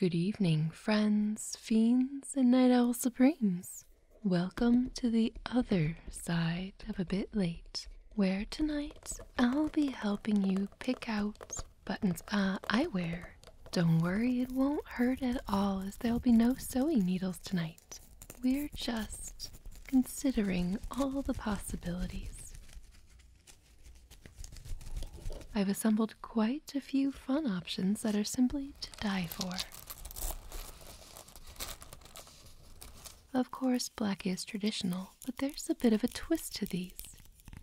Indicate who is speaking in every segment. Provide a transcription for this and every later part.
Speaker 1: Good evening, friends, fiends, and night owl supremes. Welcome to the other side of A Bit Late, where tonight I'll be helping you pick out buttons I uh, wear. Don't worry, it won't hurt at all as there'll be no sewing needles tonight. We're just considering all the possibilities. I've assembled quite a few fun options that are simply to die for. Of course, black is traditional, but there's a bit of a twist to these.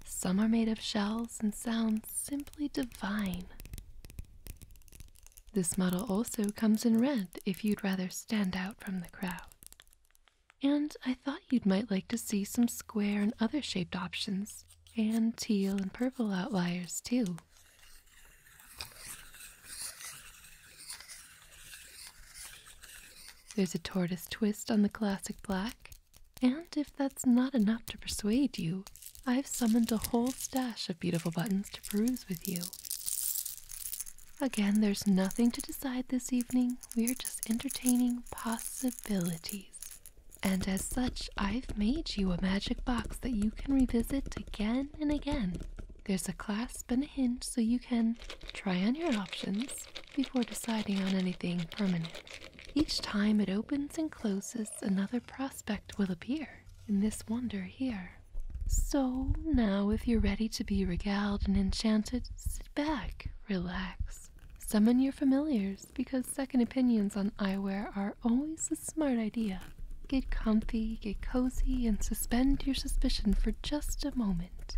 Speaker 1: Some are made of shells and sound simply divine. This model also comes in red if you'd rather stand out from the crowd. And I thought you might like to see some square and other shaped options and teal and purple outliers too. There's a tortoise twist on the classic black, and if that's not enough to persuade you, I've summoned a whole stash of beautiful buttons to peruse with you. Again, there's nothing to decide this evening. We're just entertaining possibilities. And as such, I've made you a magic box that you can revisit again and again. There's a clasp and a hinge so you can try on your options before deciding on anything permanent. Each time it opens and closes, another prospect will appear in this wonder here. So now, if you're ready to be regaled and enchanted, sit back, relax, Summon your familiars because second opinions on eyewear are always a smart idea. Get comfy, get cozy, and suspend your suspicion for just a moment.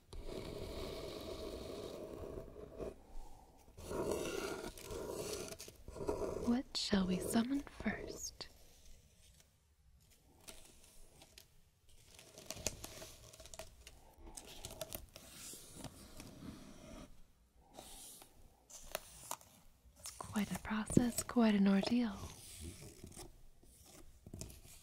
Speaker 1: What shall we summon first? It's quite a process, quite an ordeal.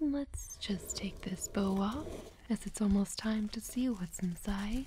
Speaker 1: Let's just take this bow off, as it's almost time to see what's inside.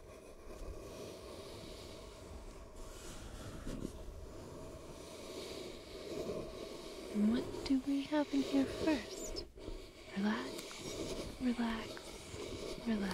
Speaker 1: What do we have in here first? Relax, relax, relax.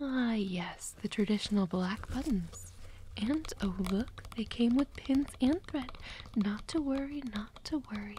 Speaker 1: Ah, yes, the traditional black buttons. And oh, look, they came with pins and thread. Not to worry, not to worry.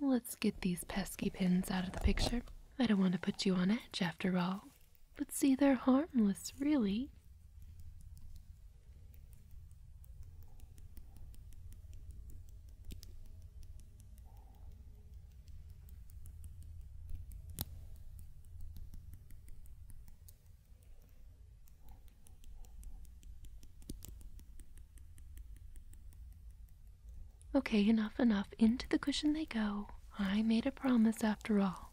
Speaker 1: Let's get these pesky pins out of the picture. I don't want to put you on edge after all. But see, they're harmless, really. Okay, enough, enough. Into the cushion they go. I made a promise after all.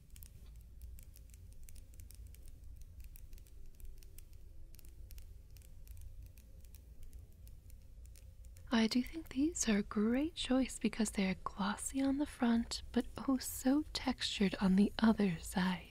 Speaker 1: I do think these are a great choice because they are glossy on the front, but oh so textured on the other side.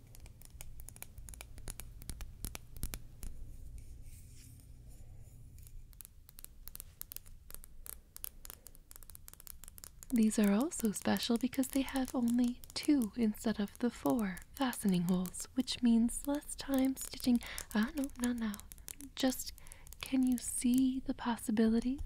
Speaker 1: These are also special because they have only two instead of the four fastening holes, which means less time stitching. Ah, no, not now. Just can you see the possibilities?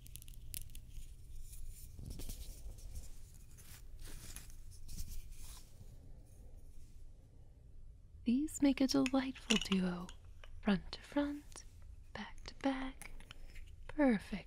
Speaker 1: These make a delightful duo, front to front, back to back. Perfect.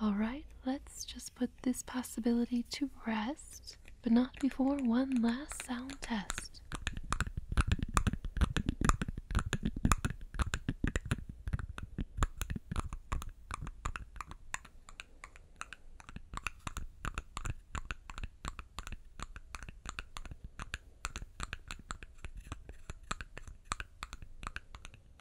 Speaker 1: All right, let's just put this possibility to rest, but not before one last sound test.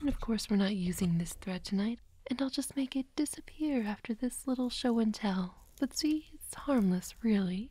Speaker 1: And of course, we're not using this thread tonight, and I'll just make it disappear after this little show and tell. But see, it's harmless, really.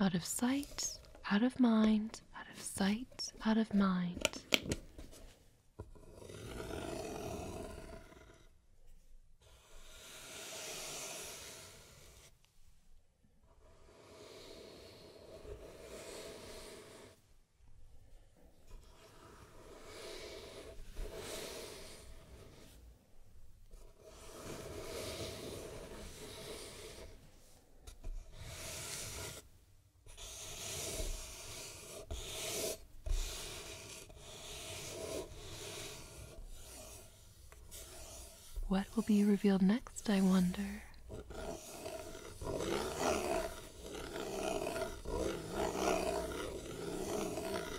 Speaker 1: Out of sight, out of mind, out of sight, out of mind. What will be revealed next, I wonder?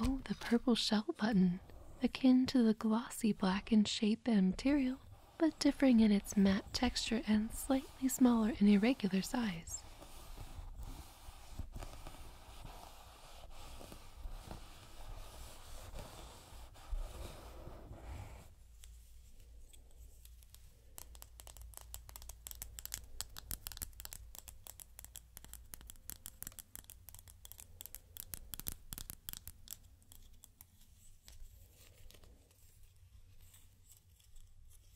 Speaker 1: Oh, the purple shell button, akin to the glossy black in shape and material, but differing in its matte texture and slightly smaller in irregular size.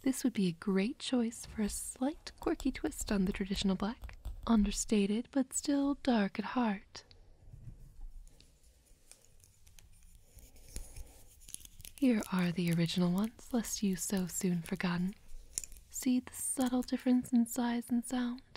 Speaker 1: This would be a great choice for a slight quirky twist on the traditional black, understated but still dark at heart. Here are the original ones, lest you so soon forgotten. See the subtle difference in size and sound?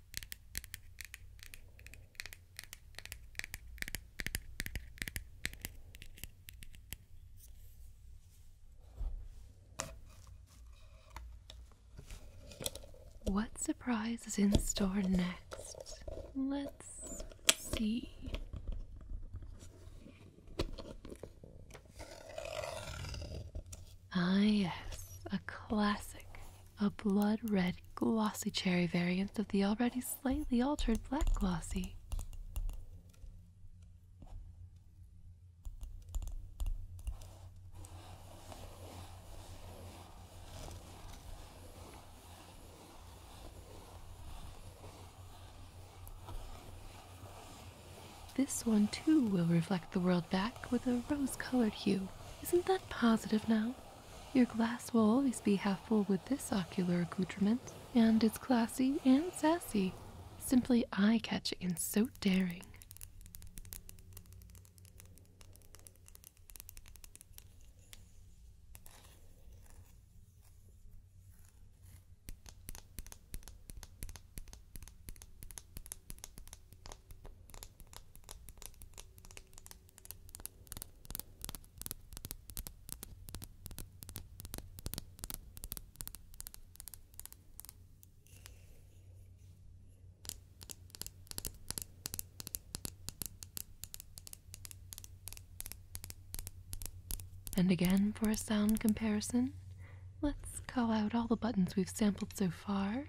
Speaker 1: What surprise is in store next? Let's see. Ah, yes, a classic. A blood red glossy cherry variant of the already slightly altered black glossy. This one too will reflect the world back with a rose colored hue. Isn't that positive now? Your glass will always be half full with this ocular accoutrement, and it's classy and sassy, simply eye catching and so daring. And again, for a sound comparison, let's call out all the buttons we've sampled so far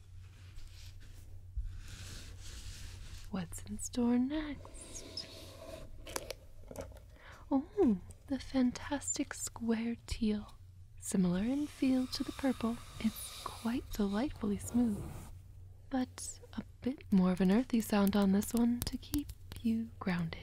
Speaker 1: What's in store next? Oh, the fantastic square teal. Similar in feel to the purple, it's quite delightfully smooth. But a bit more of an earthy sound on this one to keep you grounded.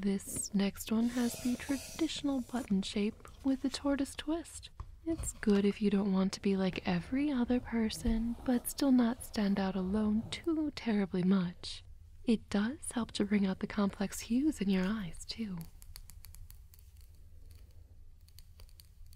Speaker 1: This next one has the traditional button shape with a tortoise twist. It's good if you don't want to be like every other person, but still not stand out alone too terribly much. It does help to bring out the complex hues in your eyes, too.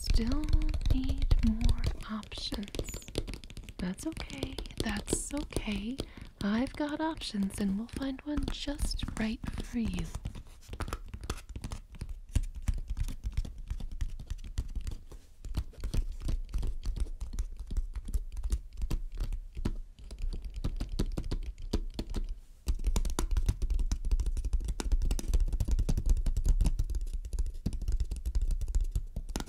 Speaker 1: Still need more options. That's okay. That's okay. I've got options and we'll find one just right for you.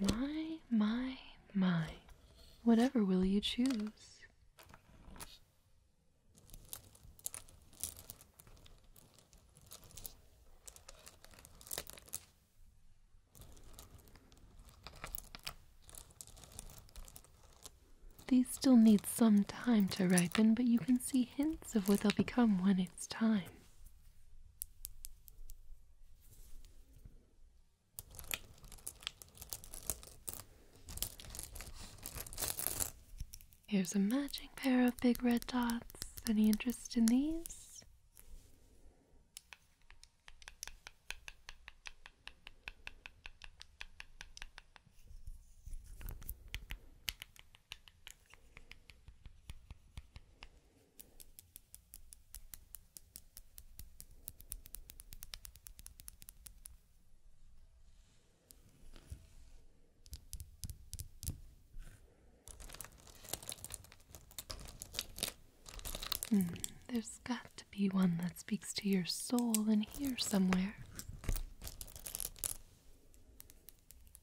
Speaker 1: My, my, my. Whatever will you choose? These still need some time to ripen, but you can see hints of what they'll become when it's time. Here's a matching pair of big red dots. Any interest in these? Hmm, there's got to be one that speaks to your soul in here somewhere.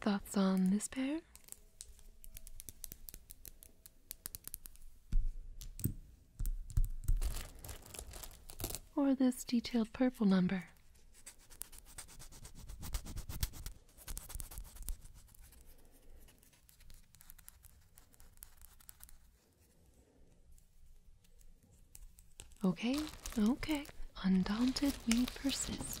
Speaker 1: Thoughts on this pair? Or this detailed purple number? Okay, okay. Undaunted, we persist.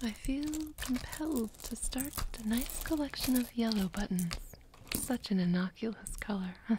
Speaker 1: I feel compelled to start a nice collection of yellow buttons. Such an innocuous color.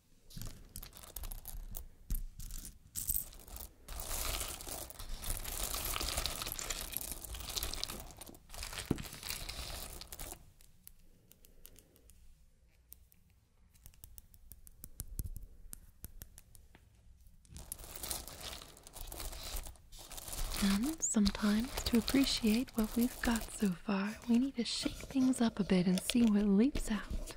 Speaker 1: And sometimes, to appreciate what we've got so far, we need to shake things up a bit and see what leaps out.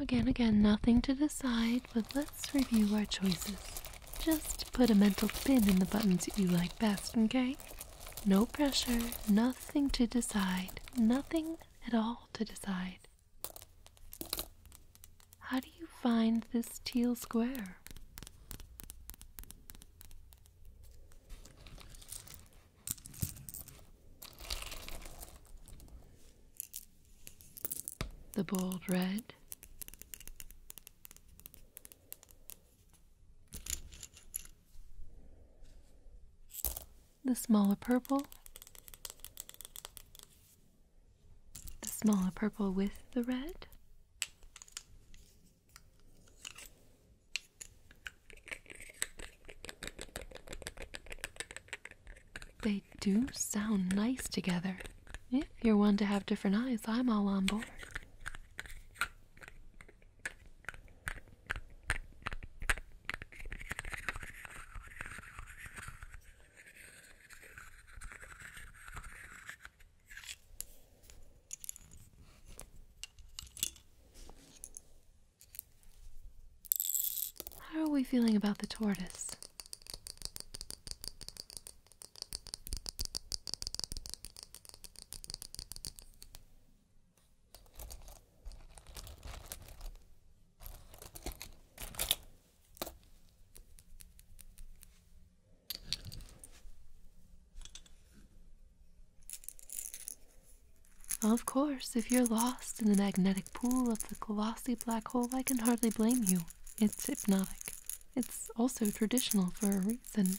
Speaker 1: Again, again, nothing to decide, but let's review our choices. Just put a mental spin in the buttons that you like best, okay? No pressure, nothing to decide, nothing at all to decide. How do you find this teal square? The bold red, the smaller purple, the smaller purple with the red. They do sound nice together. If you're one to have different eyes, I'm all on board. How are we feeling about the tortoise? Of course, if you're lost in the magnetic pool of the glossy black hole, I can hardly blame you. It's hypnotic. It's also traditional for a reason.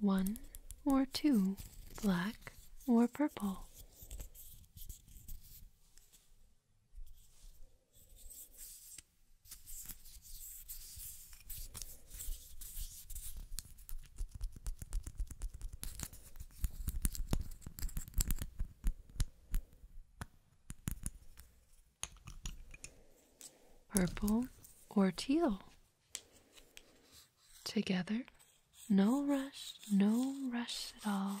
Speaker 1: One or two, black or purple. Purple or teal? Together, no rush, no rush at all.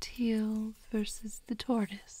Speaker 1: Teal versus the tortoise.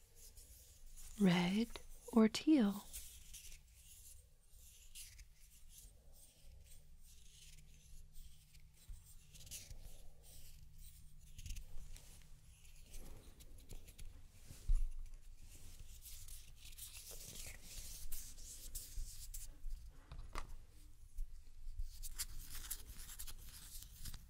Speaker 1: red or teal?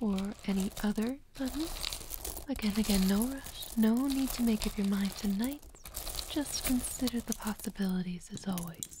Speaker 1: Or any other button. Again, again, no rush, no need to make up your mind tonight. Just consider the possibilities as always.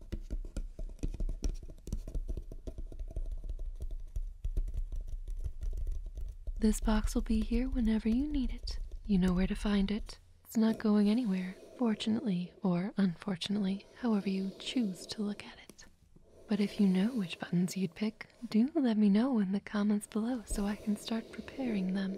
Speaker 1: This box will be here whenever you need it. You know where to find it. It's not going anywhere, fortunately or unfortunately, however you choose to look at it. But if you know which buttons you'd pick, do let me know in the comments below so I can start preparing them.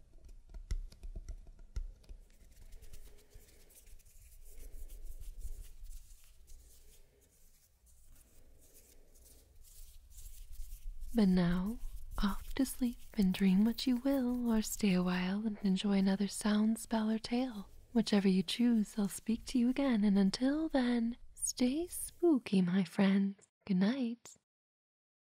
Speaker 1: But now, off to sleep and dream what you will, or stay a while and enjoy another sound, spell, or tale. Whichever you choose, I'll speak to you again, and until then, stay spooky, my friends. Good night.